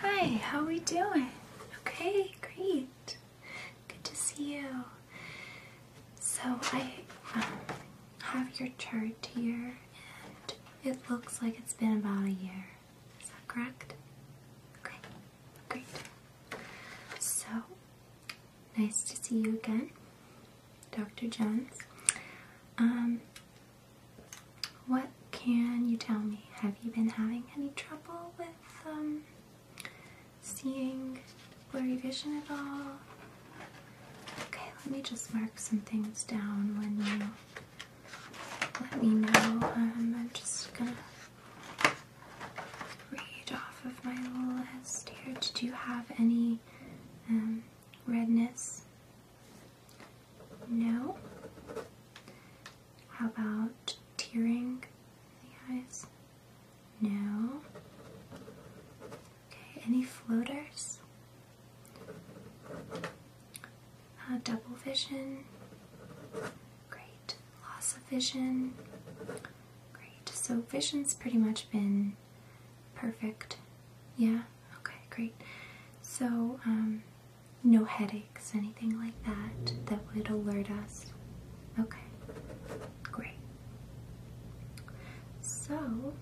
Hi, how are we doing? Okay, great. Good to see you. So I have your chart here, and it looks like it's been about a year. correct? Okay, great. So, nice to see you again, Dr. Jones. Um, what can you tell me? Have you been having any trouble with um, seeing blurry vision at all? Okay, let me just mark some things down when you let me know. Um, I'm just gonna read off of my list here. Did you have any um, redness? No? How about tearing the eyes? No? Okay, any floaters? Uh, double vision? Great. Loss of vision? Great. So vision's pretty much been perfect. Yeah? Okay, great. So, um, no headaches, anything like that, that would alert us. Okay, great. So,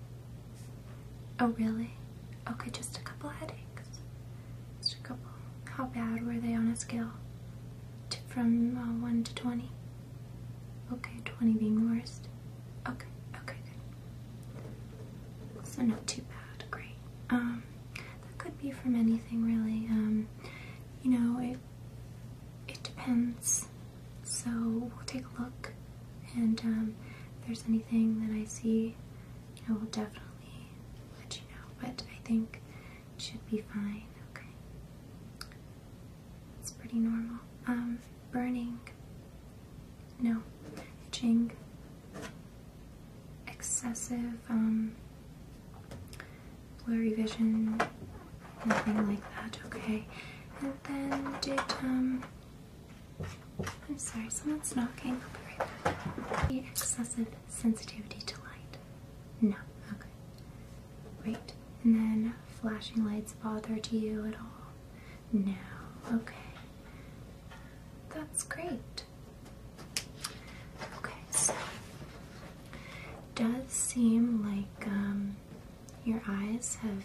oh, really? Okay, just a couple headaches. Just a couple. How bad were they on a scale? from uh, 1 to 20? Okay, 20 being worst. Okay, okay, good. So not too bad, great. Um, that could be from anything really. Um, you know, it it depends. So we'll take a look, and um, if there's anything that I see, you know, we'll definitely let you know. But I think it should be fine. Okay, it's pretty normal. burning. No, itching excessive um, blurry vision, nothing like that, okay? And then did, um, I'm sorry, someone's knocking, I'll be right back. excessive sensitivity to light? No, okay. Great. And then flashing lights bother to you at all? No, okay. That's great. Okay, so does seem like um, your eyes have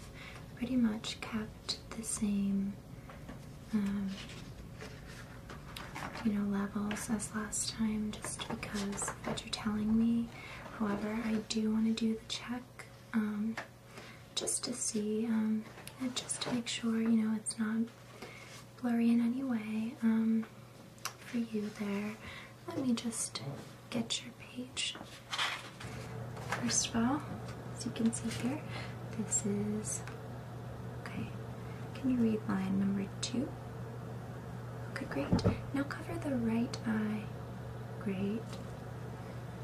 pretty much kept the same, um, you know, levels as last time just because of what you're telling me. However, I do want to do the check um, just to see um, and just to make sure you know it's not blurry in any way um, for you there. Let me just get your page. First of all, as you can see here, this is okay. Can you read line number two? Okay, great. Now cover the right eye. Great.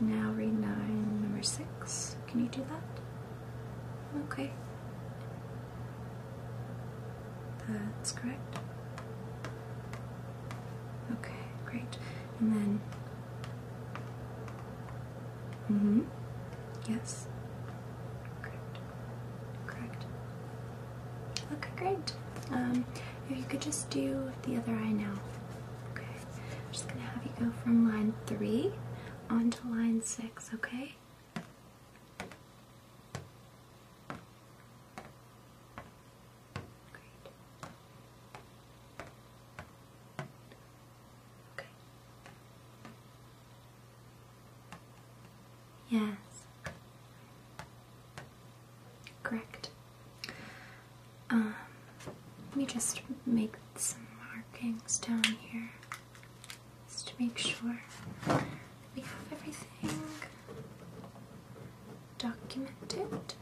Now read nine, number six. Can you do that? Okay. That's correct. Okay, great. And then. Mm hmm. Yes. Correct. Correct. Okay, great. Um, if you could just do the other eye now. Okay. I'm just gonna have you go from line three on to line six, okay? Okay. Yes. Correct. Um, let me just make some markings down here just to make sure we have everything documented.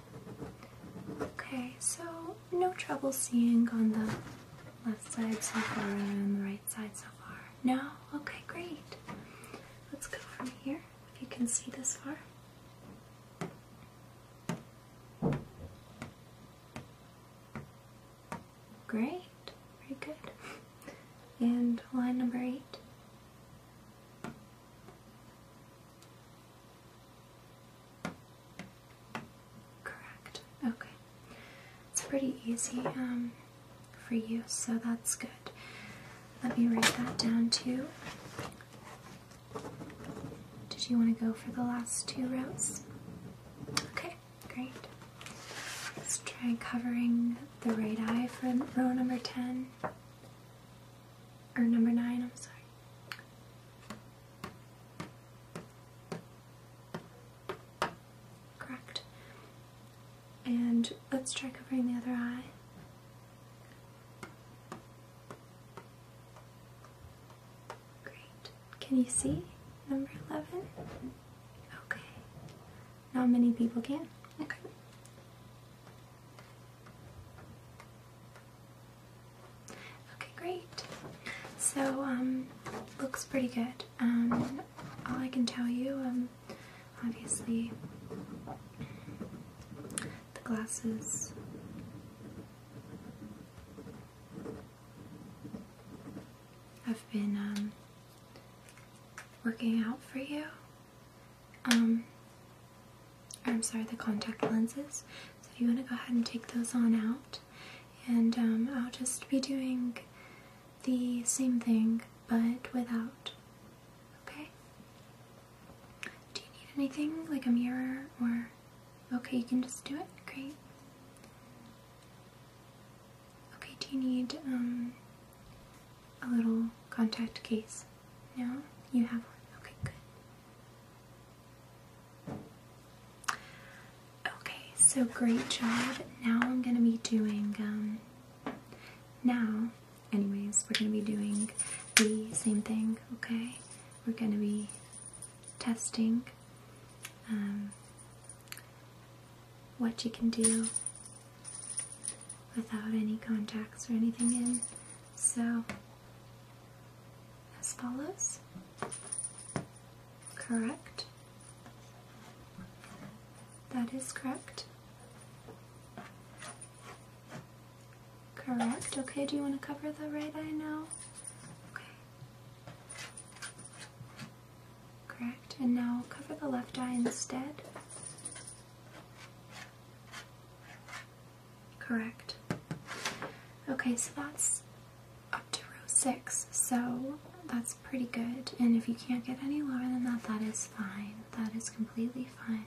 Okay, so no trouble seeing on the left side so far and the right side so far. No? Okay, great. Let's go from here if you can see this far. Great, very good. And line number eight. Correct. Okay. It's pretty easy um, for you, so that's good. Let me write that down too. Did you want to go for the last two rows? Okay, great. Let's try covering the right eye for row number 10. Or number 9, I'm sorry. Correct. And let's try covering the other eye. Great. Can you see number 11? Okay. Not many people can. Okay. Okay, great. So, um, looks pretty good. Um, all I can tell you, um, obviously, the glasses I've been um, working out for you. Um, I'm sorry, the contact lenses. So if you want to go ahead and take those on out. And um, I'll just be doing the same thing, but without. Okay? Do you need anything, like a mirror or Okay, you can just do it. Great. Okay, do you need um a little contact case? No, you have one. Okay, good. Okay, so great job. Now I'm gonna be doing um now, anyways, we're gonna be doing the same thing. Okay, we're gonna be testing um, what you can do without any contacts or anything in. So, as follows correct. That is correct. Correct. Okay, do you want to cover the right eye now? Okay. Correct. And now cover the left eye instead. Correct. Okay, so that's up to row six, so that's pretty good. And if you can't get any lower than that, that is fine. That is completely fine.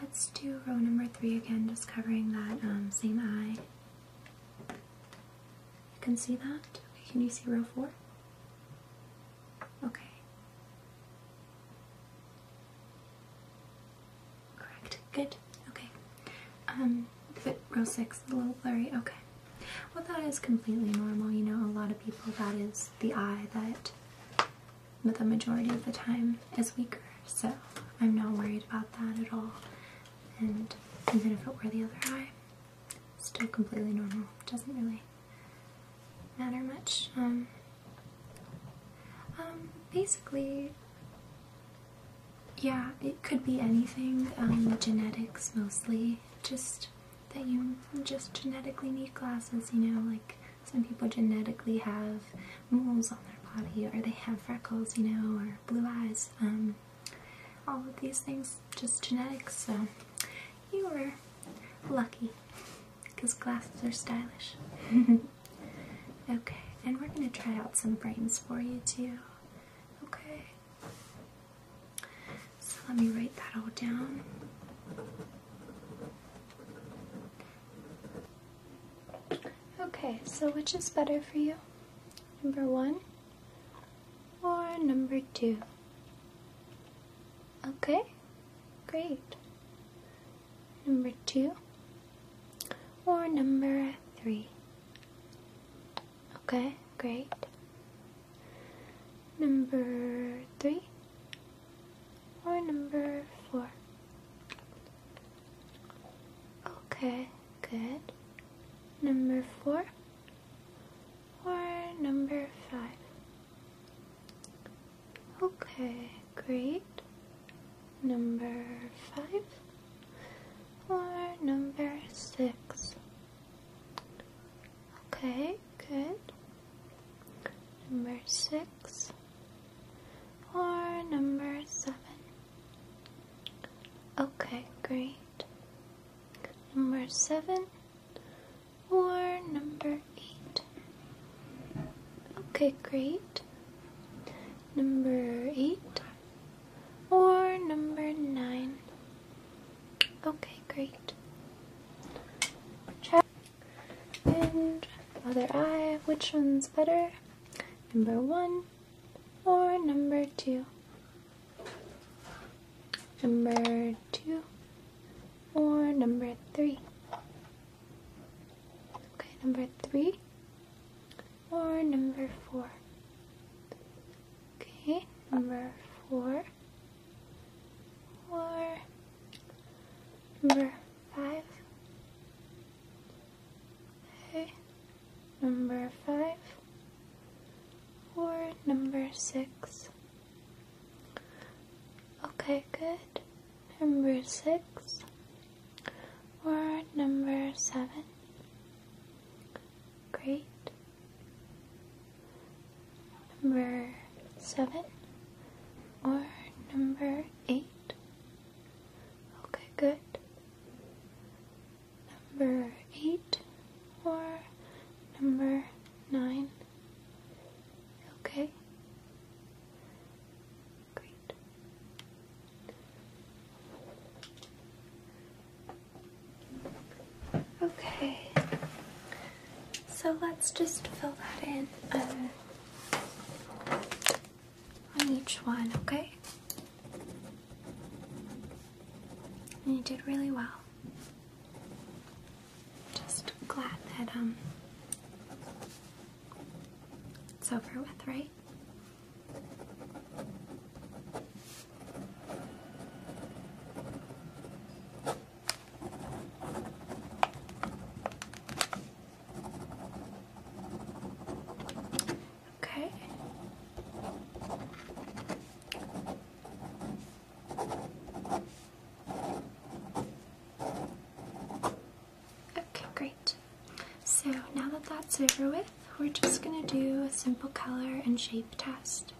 Let's do row number three again, just covering that um, same eye. You can see that? can you see row four? Okay. Correct. Good. Okay. Um, but row six is a little blurry. Okay. Well, that is completely normal. You know, a lot of people, that is the eye that the majority of the time is weaker. So I'm not worried about that at all and even if it were the other eye, still completely normal. Doesn't really matter much. Um, um, basically, yeah, it could be anything. Um, genetics mostly, just that you just genetically need glasses. You know, like some people genetically have moles on their body or they have freckles, you know, or blue eyes. Um, all of these things, just genetics. So you were lucky because glasses are stylish. okay, and we're going to try out some frames for you too. Okay. So let me write that all down. Okay, so which is better for you? Number one or number two? Okay, great. Number two or number three? Okay, great. Number three or number four? Okay, good. Number four or number five? Okay, great. Number five or number six? Okay, good. Number six or number seven? Okay, great. Number seven or number eight? Okay, great. Number eight or number nine? Okay, great. Check. And other eye, which one's better? Number one or number two? Number two or number three? Okay, number three or number four? Okay, number four or number five Okay. Number five or number six. Okay, good. Number six or number seven. Great. Number seven or number eight. Okay, good number eight or number nine. Okay. Great. Okay. So let's just fill that in. Um, on each one, okay? And you did really well. Just glad that um it's over with, right? Okay. Okay, great. So now that that's over with, we're just going to do a simple color and shape test.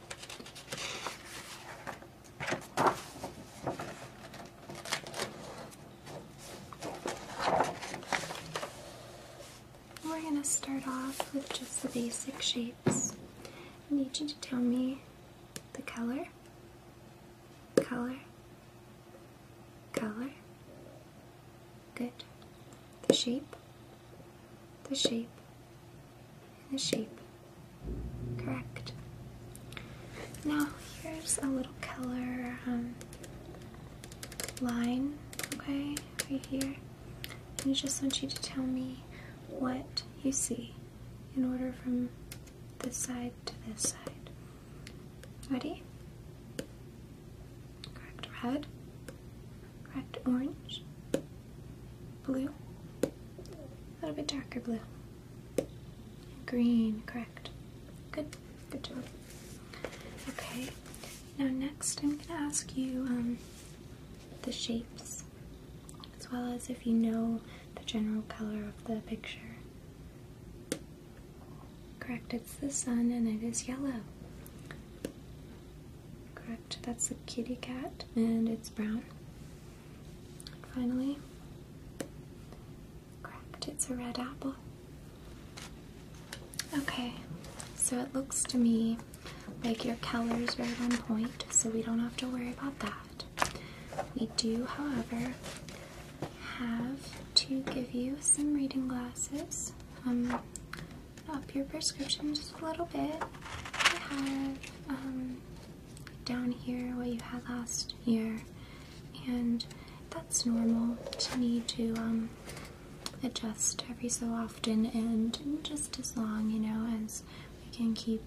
We're going to start off with just the basic shapes. need you to tell me the color, color, color, good, the shape, the shape, and the shape, correct. Now here's a little color um, line, okay, right here. And I just want you to tell me what you see in order from this side to this side. Ready? Correct red, correct orange, blue, a little bit darker blue, green, correct. Good, good job. Okay, now next I'm going to ask you um, the shapes as well as if you know the general color of the picture. Correct, it's the sun and it is yellow. Correct, that's the kitty cat and it's brown. Finally, Correct, it's a red apple. Okay, so it looks to me like your color's right on point, so we don't have to worry about that. We do, however, have to give you some reading glasses. Um, up your prescription just a little bit. I have um, down here what you had last year and that's normal to me to um, adjust every so often and just as long, you know, as we can keep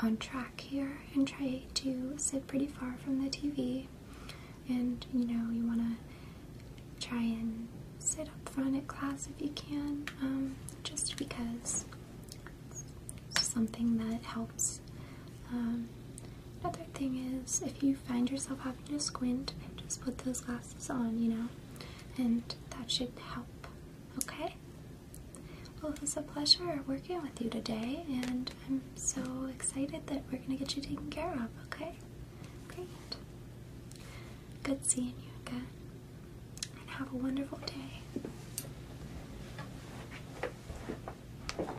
on track here and try to sit pretty far from the TV. And you know, you want to try and sit up front at class if you can, um, just because it's something that helps um, another thing is, if you find yourself having to squint, just put those glasses on, you know, and that should help. Okay? Well, it was a pleasure working with you today, and I'm so excited that we're going to get you taken care of, okay? Great. Good seeing you again, and have a wonderful day.